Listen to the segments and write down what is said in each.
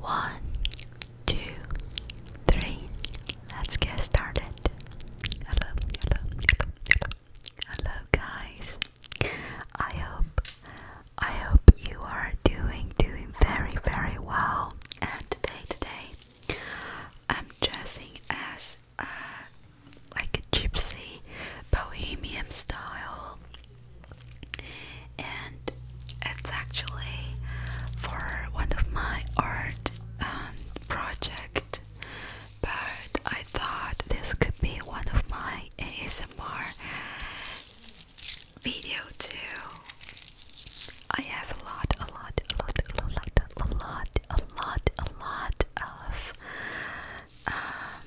One, two, three. Let's get started. Hello, hello, hello, hello, hello, guys. I hope, I hope you are doing, doing very, very well. And today, today, I'm dressing as a, uh, like a gypsy bohemian style and it's actually for one of my art um, project but I thought this could be one of my ASMR video too I have a lot a lot a lot a lot a lot a lot a lot of um,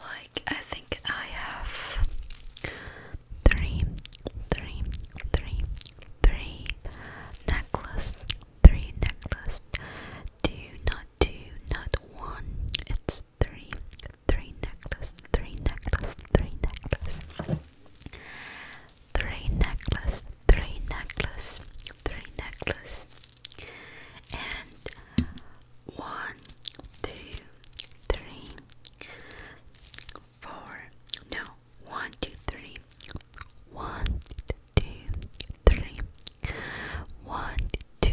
like I think I have three, three, three, three necklace, three necklace. Two, not two, not one. It's three, three necklace, three necklace, three necklace, three necklace, three necklace, three necklace, and one, two, three, four. No, one, two, three. One, two, three. One, two,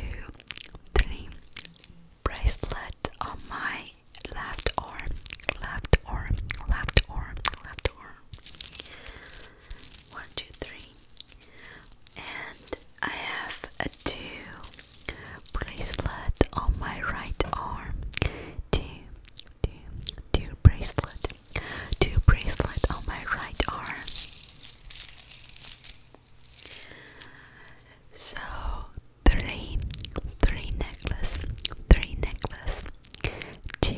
three. Bracelet on my left arm, left arm, left arm, left arm. One, two, three and I have a two bracelet on my right arm. Two, two, two bracelet, two bracelet on my right arm. So three, three necklace, three necklace, two,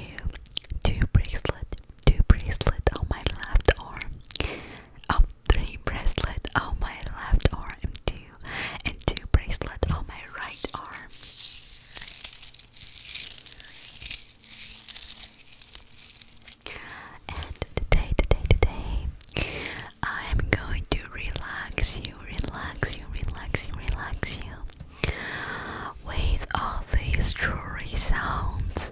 two bracelet, two bracelet on my left arm up oh, three bracelets on oh, my left arm two and two bracelets on my right arm. And today, today, today, I am going to relax you, relax you, relax you, relax you with all these jewelry sounds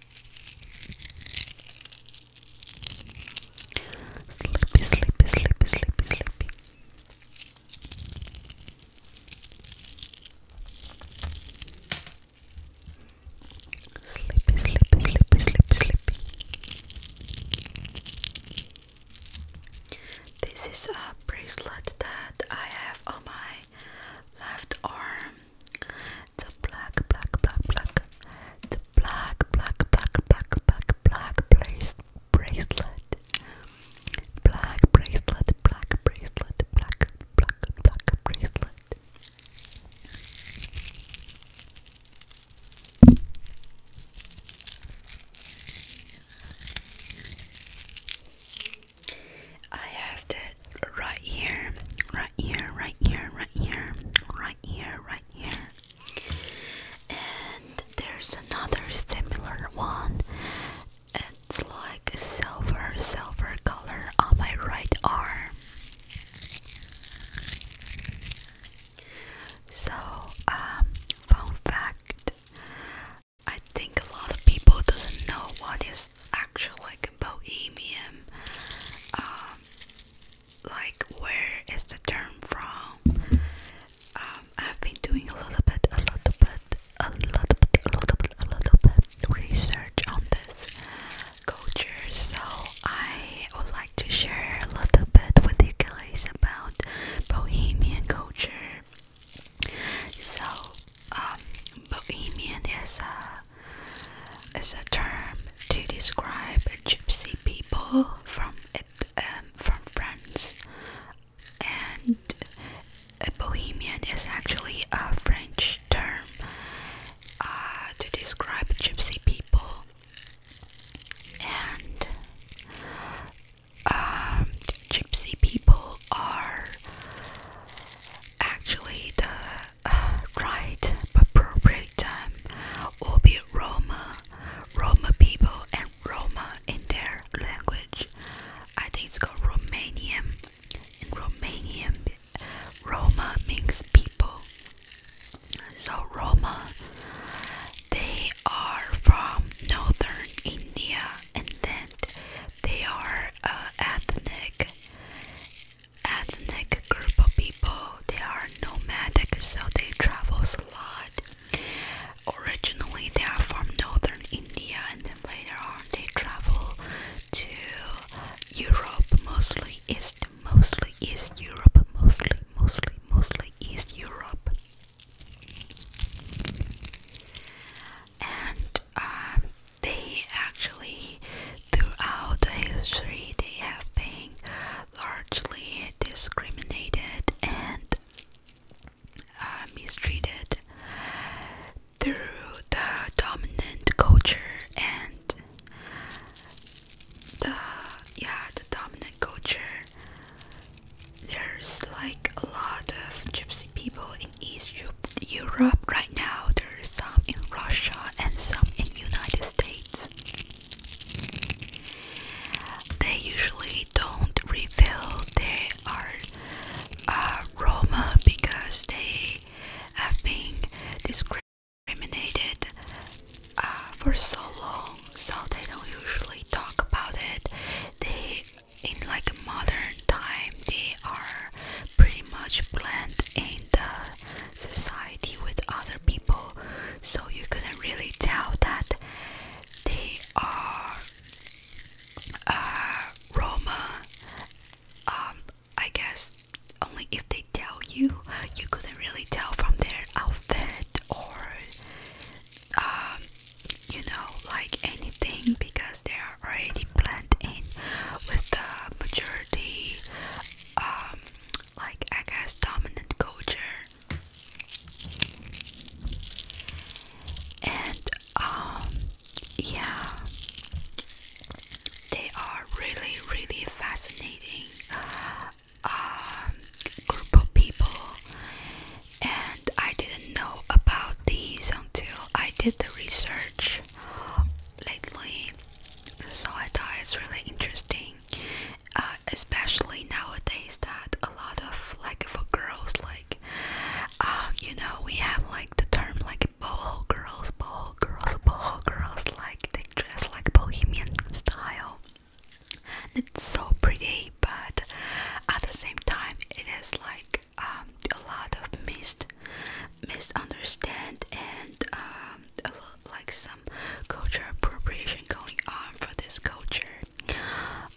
Sleepy, sleepy, sleepy, sleepy, sleepy. Sleepy, sleepy, sleepy, sleepy, sleepy. This is a bracelet that I have on my left arm the black, black, black, black, the black, black, black, black, black, black brace bracelet, black bracelet, black bracelet, black, black, black bracelet. I have that right here, right here, right here, here, right here, right here. And there's another similar one. It's like silver, silver color on my right arm. So, um, fun fact. I think a lot of people doesn't know what is actually like bohemian um, like where is the term from um, I've been doing a little bit a little bit a little bit a little bit a little bit research on this culture so I would like to share a little bit with you guys about Bohemian culture so um, Bohemian is a is a term to describe gypsy people from it, um, from France, and Bohemian is actually a French term uh, to describe gypsy people, and um, gypsy people are actually the uh, right appropriate time will be Roma, Roma people and Roma in their language. I think it's called Romanian. In Romanian, Roma means people. So Roma, they are from northern India, and then they are uh, ethnic ethnic group of people. They are nomadic, so they travel a lot. Originally, they are from northern India, and then later on, they travel to Europe, mostly East, mostly East Europe, mostly, mostly, mostly East Europe. And um, they actually Throughout history, they have been largely discriminated and uh, mistreated through the dominant culture and the yeah the dominant culture there's like a lot of gypsy people in east europe right now some in Russia and some in United States. They usually don't reveal they are Roma because they have been discriminated uh, for so long, so they don't usually talk about it. They, in like modern time, they are pretty much blend in the society with other people, so you couldn't really tell that they are uh, Roma. Um, I guess only if they tell you, you couldn't really tell from their outfit or, um, you know, like anything because they are already blended in with the majority um, like I guess dominant culture and um, yeah they are really really fascinating um, group of people and I didn't know about these until I did the research lately so I thought it's really interesting, uh, especially nowadays that a lot of like for girls, like um, you know, we have like the term like boho girls, boho girls, boho girls, like they dress like bohemian style. It's so pretty, but at the same time, it is like um, a lot of missed misunderstand and um, like some culture appropriation going on for this culture.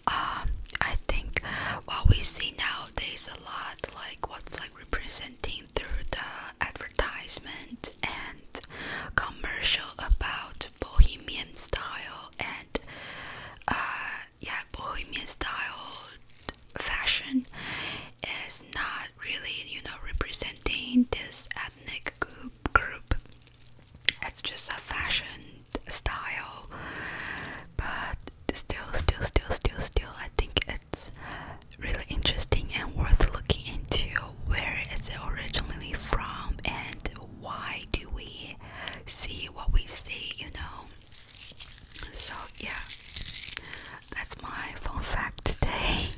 Um, I think what we see nowadays a lot like what's like representing through the advertisement and commercial about bohemian style and uh, yeah bohemian style fashion is not really, you know, representing this ethnic group. It's just a fashion style, but still, still, still, still, still, I think it's really interesting and worth looking into. where it's originally from, and why do we see what we see? You know. So yeah, that's my fun fact today.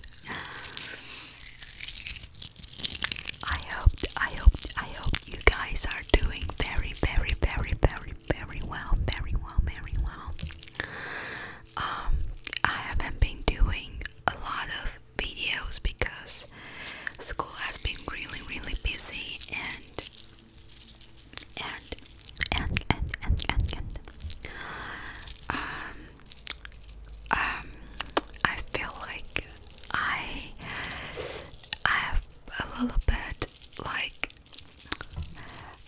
I hope, I hope, I hope you guys are doing very, very, very, very, very well, very well, very well. Um, I haven't been doing a lot of videos because school has been really, really busy and and and and and and and um um I feel like I I have a little bit like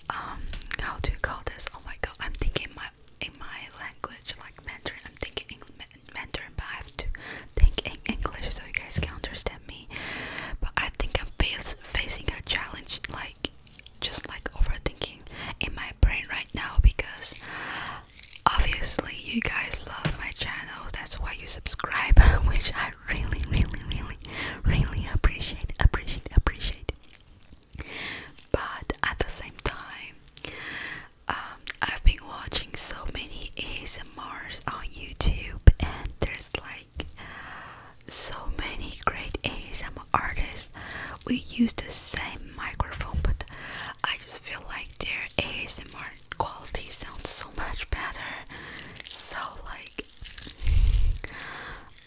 um how do you call this? Oh my god, I'm thinking my in my language like Mandarin. I'm thinking in Mandarin, but I have to think in English so you guys can understand me. But I think I'm facing a challenge like just like overthinking in my brain right now because obviously you guys love my channel that's why you subscribe which I really really really really appreciate appreciate appreciate but at the same time um, I've been watching so many ASMRs on YouTube and there's like so many great ASMR artists we use the same microphone but I just feel like their ASMR quality sounds so much better so like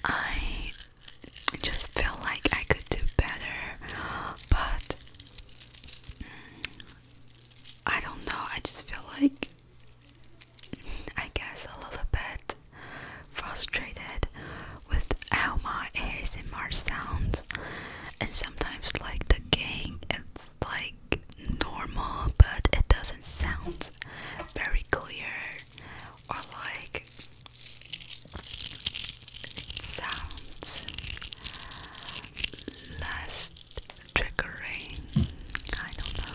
I just feel like I could do better but I don't know I just feel like I guess a little bit frustrated with how my ASMR sounds, and sometimes like the game, it's like normal, but it doesn't sound very clear or like it sounds less triggering. I don't know.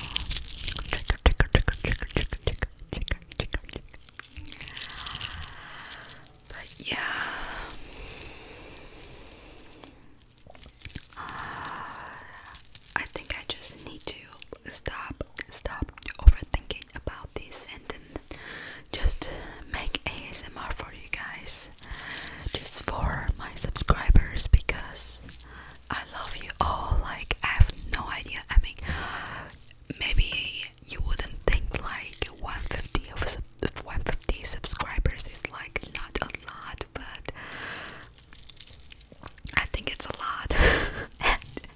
But yeah, uh, I think I just need to stop, stop overthinking about this, and just make ASMR for you guys, just for my subscribers, because I love you all. Like I have no idea. I mean, maybe you wouldn't think like 150 of 150 subscribers is like not a lot, but I think it's a lot. and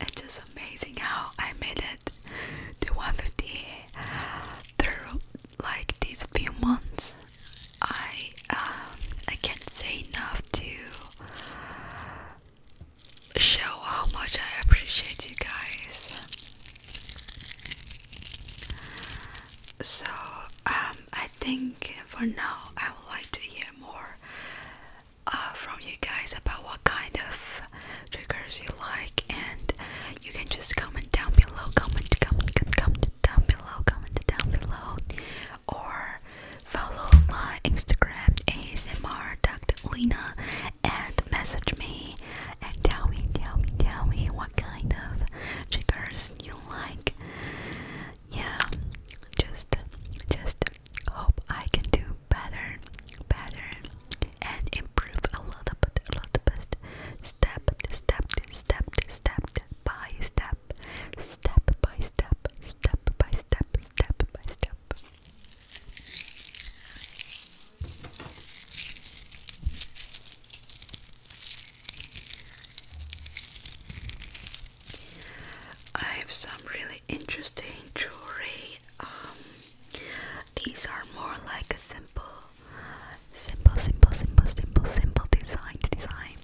it's just amazing how I made it to 150 through like these few months. I um, I can't say enough to show how much I appreciate you guys. So, um, I think for now I would like to hear more uh, from you guys about what kind of triggers you like, and you can just comment down below. Comment, comment, comment down below. Comment down below or follow my Instagram ASMR Dr. Lena and message me and tell me, tell me, tell me what kind of triggers you like. Yeah, just, just hope I can do better, better, and improve a lot, little bit, a little bit, step, step, step, step by step step, by step, step by step, step by step. I have some really interesting jewelry. Um, these are more like a simple, simple, simple, simple, simple, simple design design.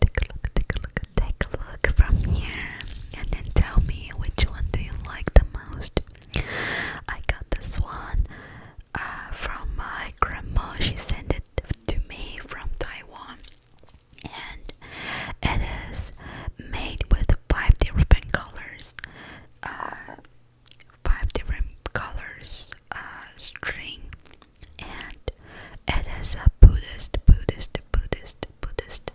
take a look, take a look, take a look from here, and then tell me which one do you like the most. I got this one uh, from my grandma. She sent it to me from Taiwan, and it is made with five different colors. Uh, five different colors uh, string and it is a Buddhist, Buddhist, Buddhist, Buddhist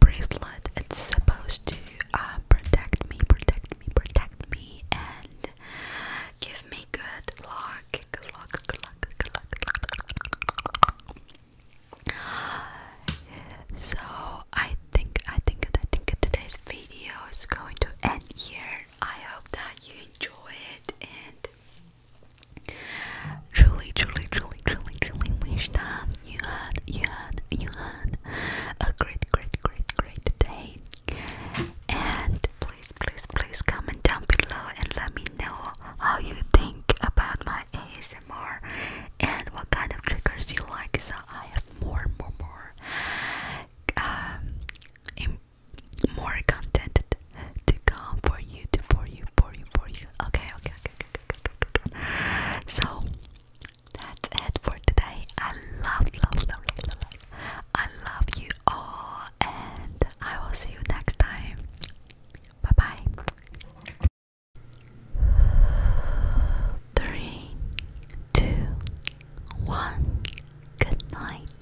bracelet. It's supposed to uh, protect me, protect me, protect me, and give me good luck, good luck, good luck, good luck. So I think, I think, I think today's video is going to end here. I hope that you enjoy it and Truly, truly, truly, truly, truly wish that you had, you had, you had a great, great, great, great day. And please, please, please comment down below and let me know how you think about my ASMR and what kind of triggers you like so I have more, more, more um, more content to come for you, to for you, for you, for you. Okay, okay, okay, okay, okay, okay. So that's it for today. I love, love, love, love, love, love. I love you all, and I will see you next time. Bye bye. Three, two, one. Good night.